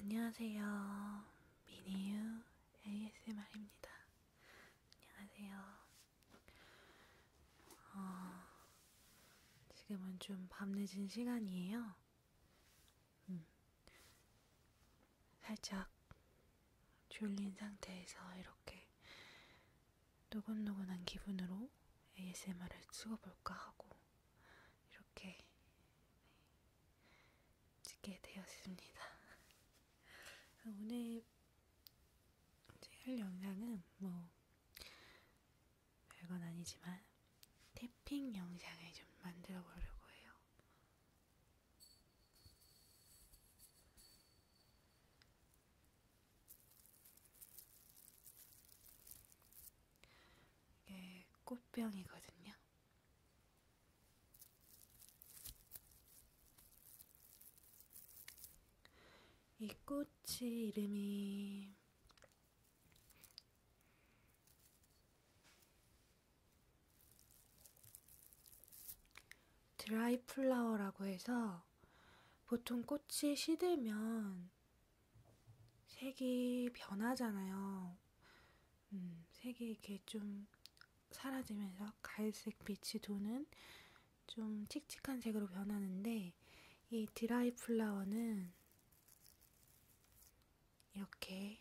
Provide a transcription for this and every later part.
안녕하세요. 미니유 ASMR입니다. 안녕하세요. 어, 지금은 좀 밤늦은 시간이에요. 음, 살짝 졸린 상태에서 이렇게 노곤노곤한 기분으로 ASMR을 찍어볼까 하고 이렇게 찍게 되었습니다. 오늘 이제 할 영상은 뭐 별건 아니지만 태핑 영상을 좀 만들어 보려고 해요. 이게 꽃병이거든요. 이 꽃이 이름이 드라이 플라워라고 해서 보통 꽃이 시들면 보면 색이 변하잖아요. 음, 색이 이렇게 좀 사라지면서 갈색 빛이 도는 좀 칙칙한 색으로 변하는데 이 드라이 플라워는 이렇게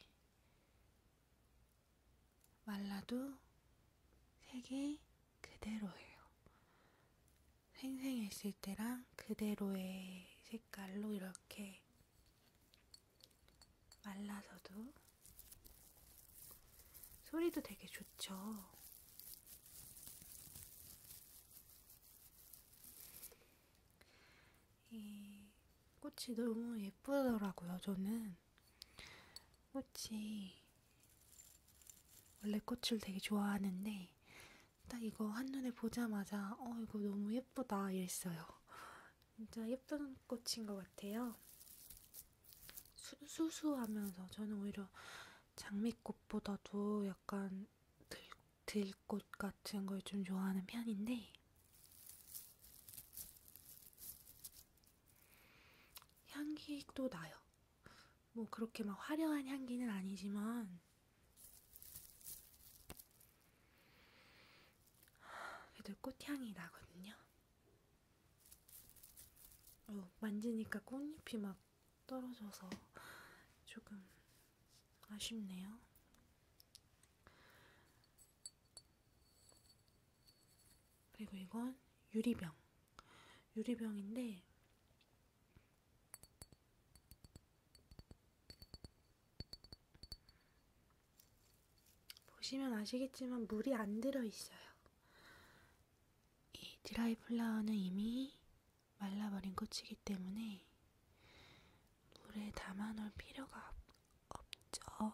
말라도 색이 그대로예요. 생생했을 때랑 그대로의 색깔로 이렇게 말라서도 소리도 되게 좋죠. 이 꽃이 너무 예쁘더라고요, 저는. 꽃이, 원래 꽃을 되게 좋아하는데, 딱 이거 한눈에 보자마자 어 이거 너무 예쁘다 이랬어요. 진짜 예쁜 꽃인 것 같아요. 수, 수수하면서 저는 오히려 장미꽃보다도 약간 들, 들꽃 같은 걸 좀 좋아하는 편인데 향기도 나요. 뭐 그렇게 막 화려한 향기는 아니지만 얘들 꽃향이 나거든요. 어, 만지니까 꽃잎이 막 떨어져서 조금 아쉽네요. 그리고 이건 유리병. 유리병인데 보시면 아시겠지만 물이 안 들어있어요. 이 드라이 플라워는 이미 말라버린 꽃이기 때문에 물에 담아 놓을 필요가 없, 없죠.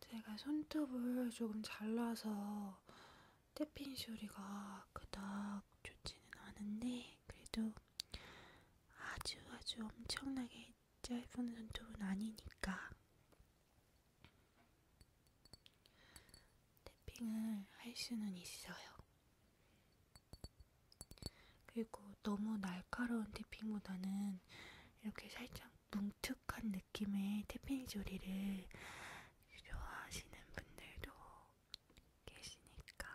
제가 손톱을 조금 잘라서 떼핀 소리가 그닥 좋지는 않은데 그래도 아주 아주 엄청나게 짧은 손톱은 아니니까 탭핑을 할 수는 있어요. 그리고 너무 날카로운 탭핑보다는 이렇게 살짝 뭉툭한 느낌의 탭핑 소리를 좋아하시는 분들도 계시니까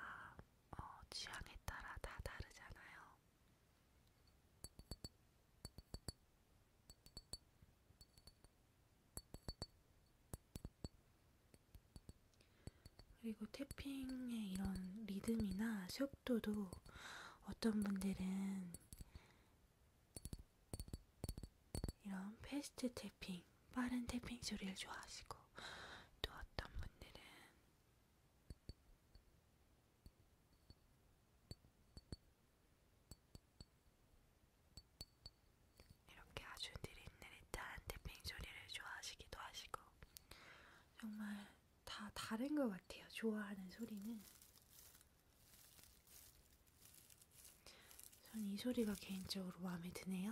어, 취향에 따라 다 다르잖아요. 그리고 태핑의 이런 리듬이나 속도도 어떤 분들은 이런 패스트 태핑, 빠른 태핑 소리를 좋아하시고 또 어떤 분들은 이렇게 아주 느릿느릿한 태핑 소리를 좋아하시기도 하시고 정말 다 다른 것 같아요. 좋아하는 소리는 전 이 소리가 개인적으로 마음에 드네요.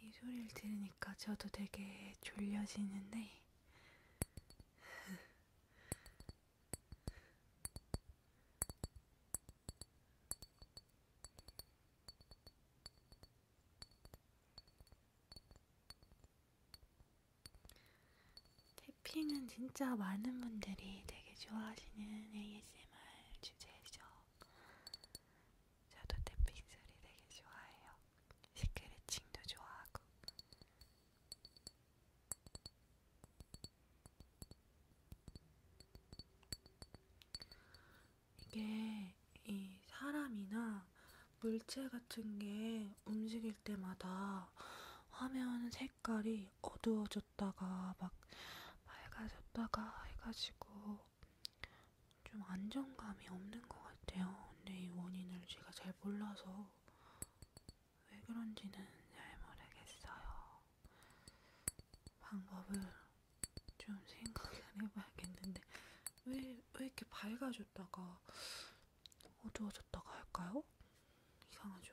이 소리를 들으니까 저도 되게 졸려지는데, 태핑은 진짜 많은 분들이 되게 좋아하시는 ASMR 주제죠. 저도 태핑 소리 되게 좋아해요. 스크래칭도 좋아하고. 이게 이 사람이나 물체 같은 게 움직일 때마다 화면 색깔이 어두워졌다가 막 맑아졌다가 해가지고 좀 안정감이 없는 것 같아요. 근데 이 원인을 제가 잘 몰라서 왜 그런지는 잘 모르겠어요. 방법을 좀 생각을 해봐야겠는데 왜, 왜 이렇게 밝아졌다가 어두워졌다가 할까요? 이상하죠.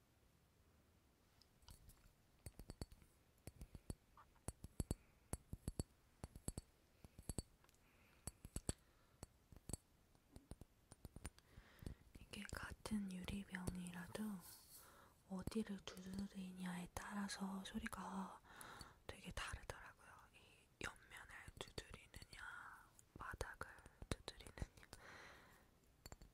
이게 같은 유리병이라도 어디를 두드리냐에 따라서 소리가 되게 다르더라고요. 이 옆면을 두드리느냐, 바닥을 두드리느냐,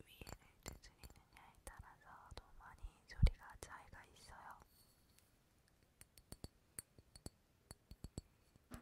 위에를 두드리느냐에 따라서도 많이 소리가 차이가 있어요. 음,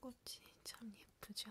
꽃이 참 예쁘죠?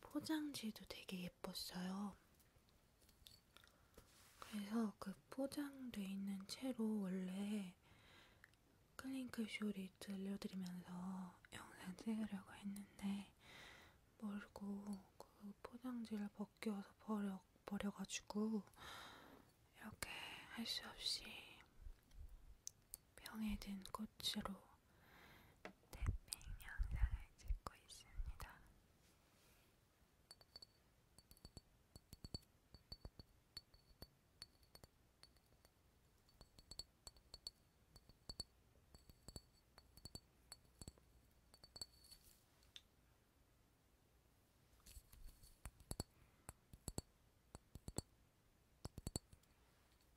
포장지도 되게 예뻤어요. 그래서 그 포장돼 있는 채로 원래 클링크 쇼리 들려드리면서 영상 찍으려고 했는데 멀고 그 포장지를 벗겨서 버려, 버려가지고 이렇게 할 수 없이 병에 든 꽃으로 탭핑 영상을 찍고 있습니다.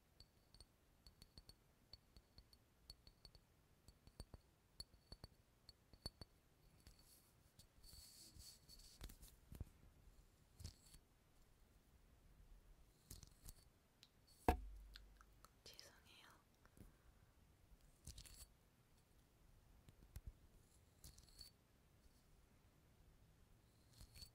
죄송해요.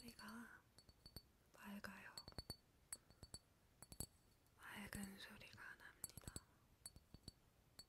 소리가 맑아요. 맑은 소리가 납니다. 음.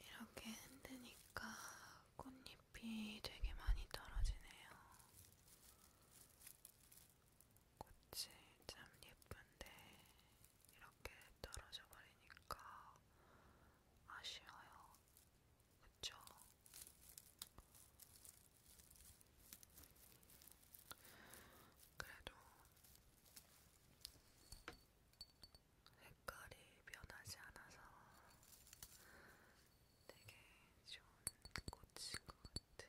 이렇게 흔드니까 꽃잎이 되게 많이 떨어지네요. 꽃이 참 예쁜데 이렇게 떨어져 버리니까 아쉬워요. 그쵸? 그래도 색깔이 변하지 않아서 되게 좋은 꽃인 것 같아요.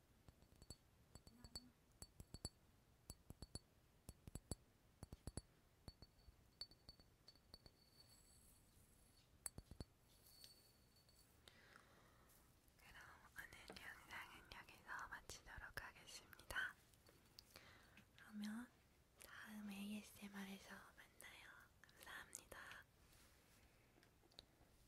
그럼 오늘 영상은 여기서 마치도록 하겠습니다. 그러면 다음 ASMR에서 만나요. 감사합니다.